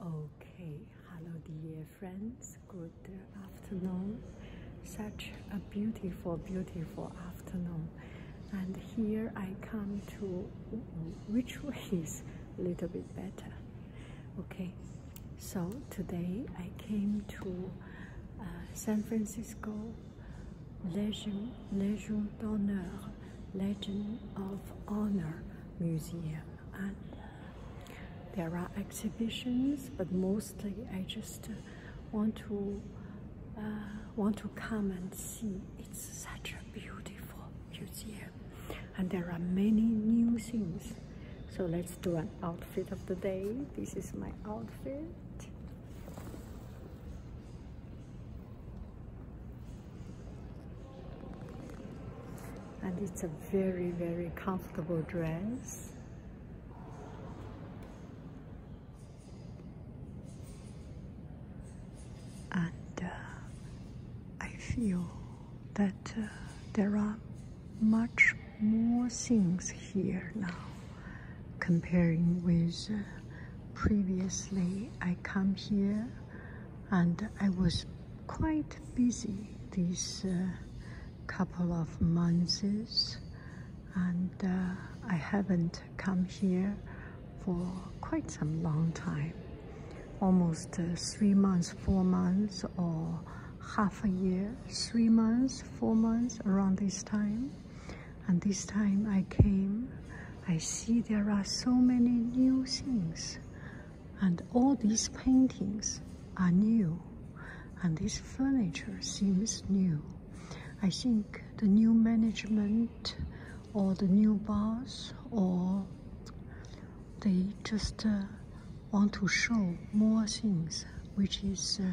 Okay, hello dear friends, good afternoon. Such a beautiful, beautiful afternoon. And here I come to which way is a little bit better. Okay, so today I came to uh, San Francisco Legion, Legion d'Honneur, Legend of Honor Museum and uh, there are exhibitions but mostly I just want to uh, want to come and see it's such a beautiful museum and there are many new things so let's do an outfit of the day this is my outfit and it's a very very comfortable dress and uh, I feel that uh, there are much more things here now comparing with uh, previously I come here and I was quite busy these uh, couple of months and uh, I haven't come here for quite some long time almost uh, three months four months or half a year three months four months around this time and this time I came I see there are so many new things and all these paintings are new and this furniture seems new. I think the new management or the new boss or they just uh, want to show more things which is uh,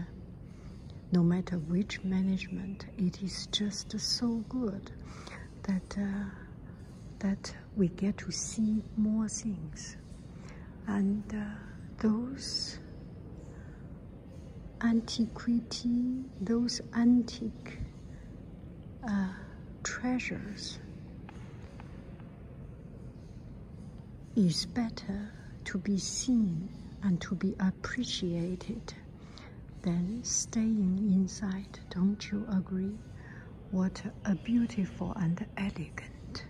no matter which management it is just so good that uh, that we get to see more things and uh, those antiquity those antique uh, treasures is better to be seen and to be appreciated than staying inside. Don't you agree? What a beautiful and elegant,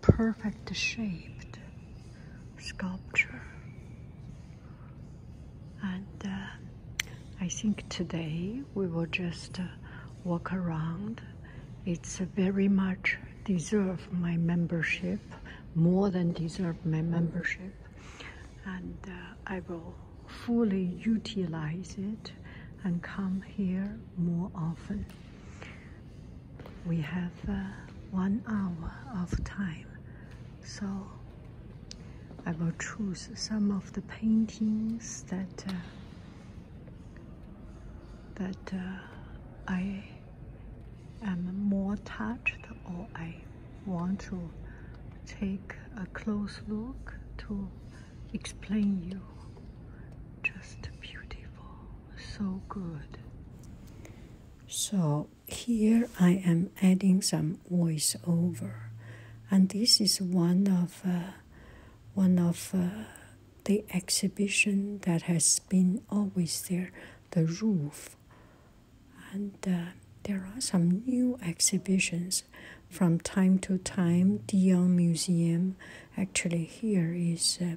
perfect shaped sculpture. And uh, I think today we will just uh, walk around. It's very much deserve my membership, more than deserve my membership and uh, I will fully utilize it and come here more often. We have uh, one hour of time, so I will choose some of the paintings that uh, that I am more touched or I want to take a close look to explain you. Just beautiful, so good. So here I am adding some voiceover, and this is one of uh, one of uh, the exhibition that has been always there, the roof and uh, there are some new exhibitions from time to time. The young Museum, actually, here is uh,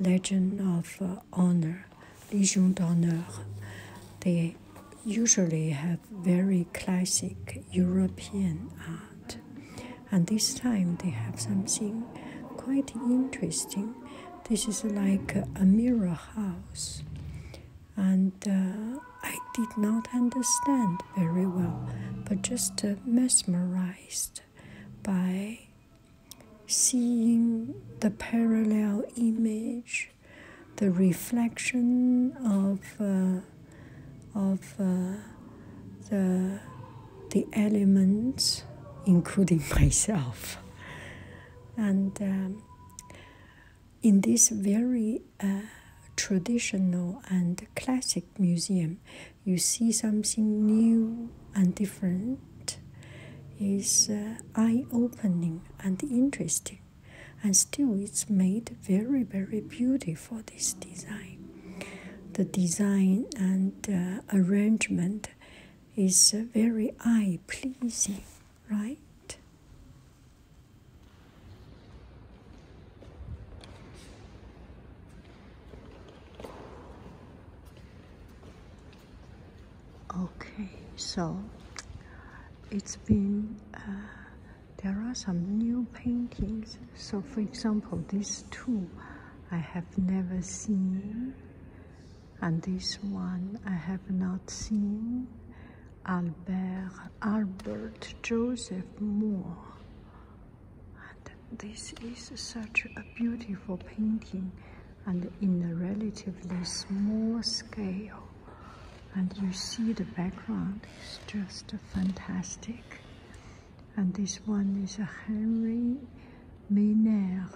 Legend of uh, Honor, Legion d'Honneur. They usually have very classic European art, and this time they have something quite interesting. This is like a mirror house and uh, I did not understand very well, but just uh, mesmerized by seeing the parallel image, the reflection of uh, of the the elements, including myself, and. Um, in this very uh, traditional and classic museum, you see something new and different is uh, eye-opening and interesting and still it's made very very beautiful this design the design and uh, arrangement is very eye pleasing, right? Okay, so it's been, uh, there are some new paintings. So for example, these two I have never seen and this one I have not seen, Albert, Albert Joseph Moore. And this is such a beautiful painting and in a relatively small scale. And you see the background is just fantastic. And this one is a Henry Meynard.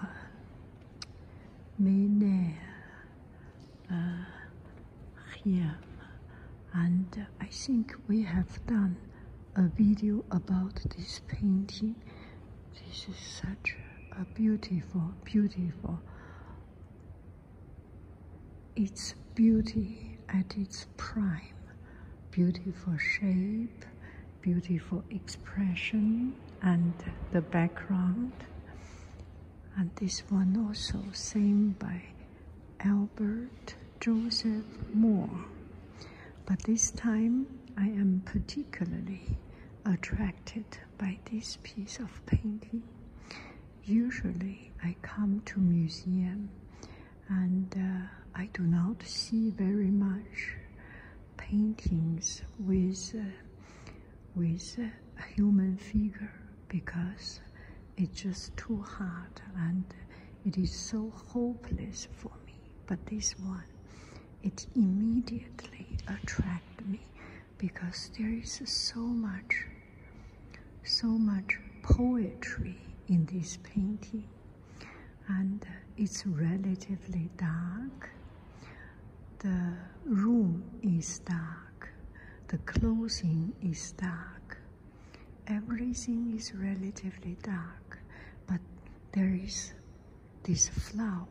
Mener Chiam. And I think we have done a video about this painting. This is such a beautiful, beautiful. Its beauty at its prime. Beautiful shape, beautiful expression and the background and this one also same by Albert Joseph Moore but this time I am particularly attracted by this piece of painting usually I come to museum and uh, I do not see very much paintings with with a human figure because it's just too hard and it is so hopeless for me. But this one, it immediately attracted me because there is so much, so much poetry in this painting and it's relatively dark. The room is dark, the clothing is dark, everything is relatively dark, but there is this flower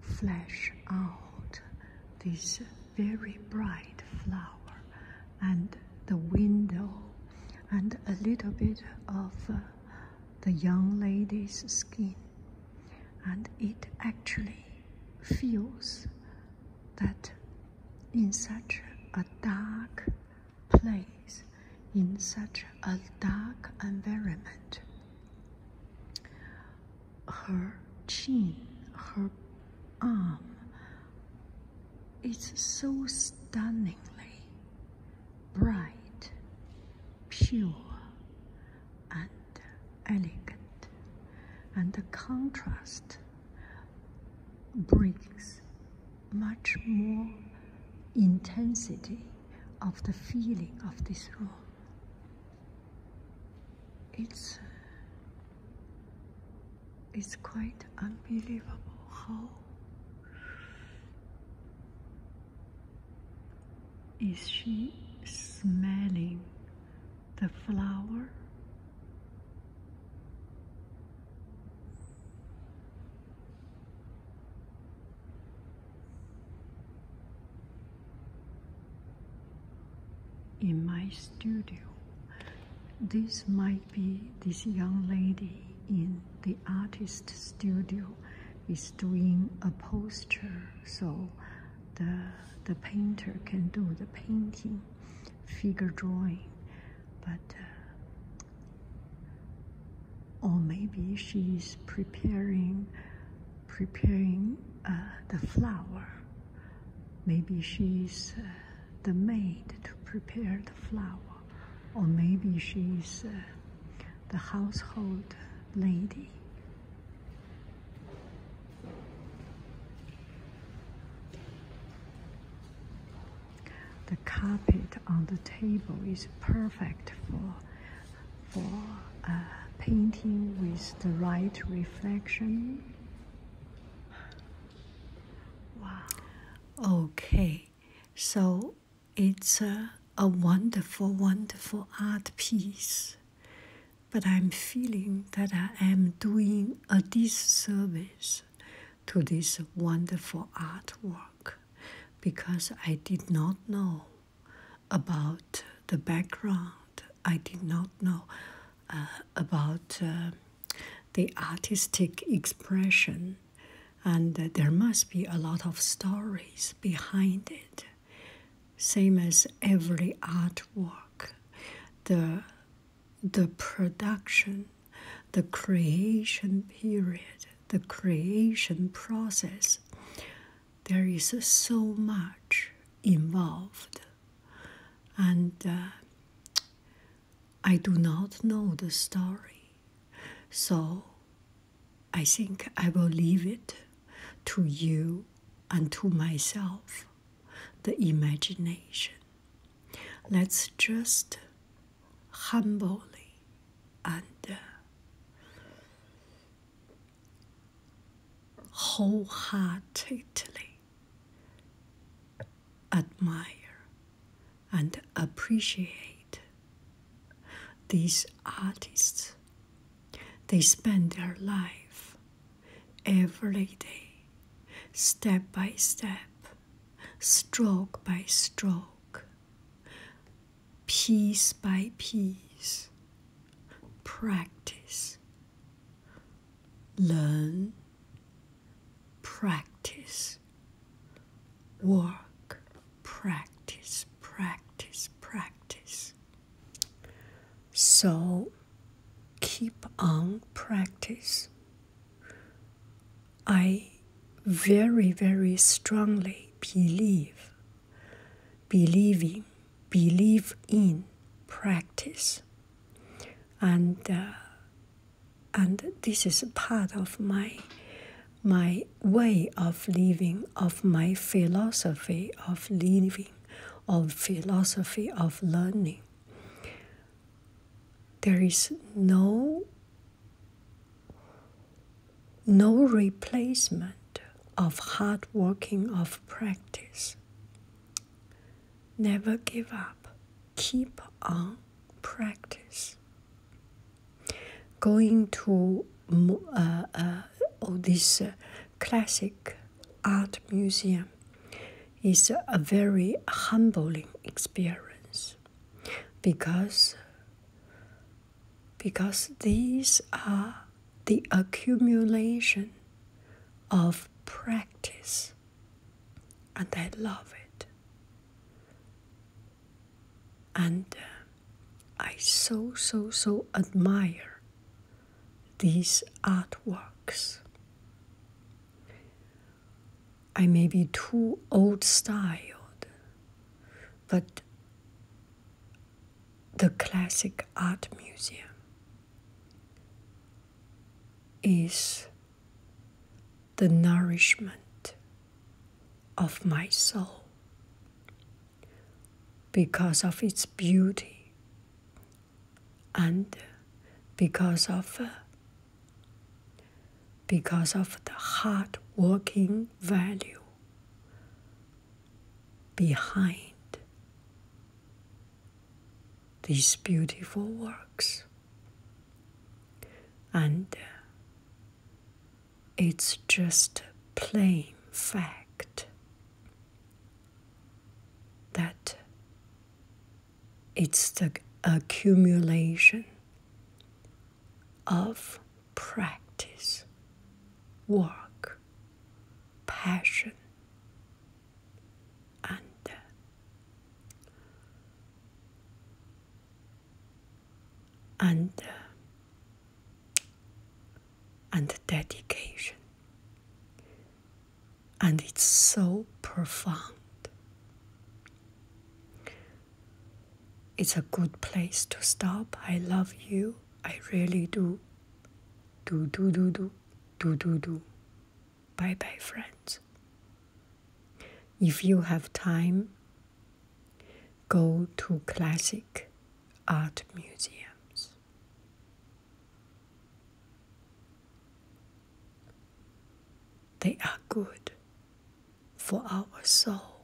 flash out, this very bright flower, and the window, and a little bit of uh, the young lady's skin and it actually feels that in such a dark place, in such a dark environment, her chin, her arm, is so stunningly bright, pure, and elegant, and the contrast brings much more intensity of the feeling of this room. It's it's quite unbelievable how is she smelling the flower? in my studio. This might be this young lady in the artist studio is doing a poster so the the painter can do the painting figure drawing but uh, or maybe she's preparing preparing uh, the flower maybe she's uh, the maid to prepare the flower or maybe she's uh, the household lady. The carpet on the table is perfect for, for uh, painting with the right reflection. Wow. Okay so it's a, a wonderful, wonderful art piece, but I'm feeling that I am doing a disservice to this wonderful artwork because I did not know about the background, I did not know uh, about. Uh, the artistic expression, and there must be a lot of stories behind it. Same as every artwork, the, the production, the creation period, the creation process, there is so much involved. And uh, I do not know the story, so I think I will leave it to you and to myself, the imagination. Let's just humbly and uh, wholeheartedly admire, and appreciate these artists. They spend their life every day, step by step, stroke by stroke, piece by piece, practice, learn practice, work, practice, practice, practice. So keep on practice. I very, very strongly believe, believing, believe in practice and uh, and this is part of my my way of living, of my philosophy of living, of philosophy of learning. There is no no replacement of hard working of practice. Never give up. Keep on practice. Going to uh, uh, oh, this uh, classic art museum is a very humbling experience because because these are the accumulation of practice and I love it. And uh, I so, so, so admire these artworks. I may be too old styled, but the Classic Art Museum is the nourishment of my soul because of its beauty and because of uh, because of the hard working value behind these beautiful works. And uh, it's just plain fact that it's the accumulation of practice, work, passion, and and and dedication and it's so profound it's a good place to stop i love you i really do do do do do do do do. Bye bye, friends. If you have time, go to classic art museums. They are good for our soul.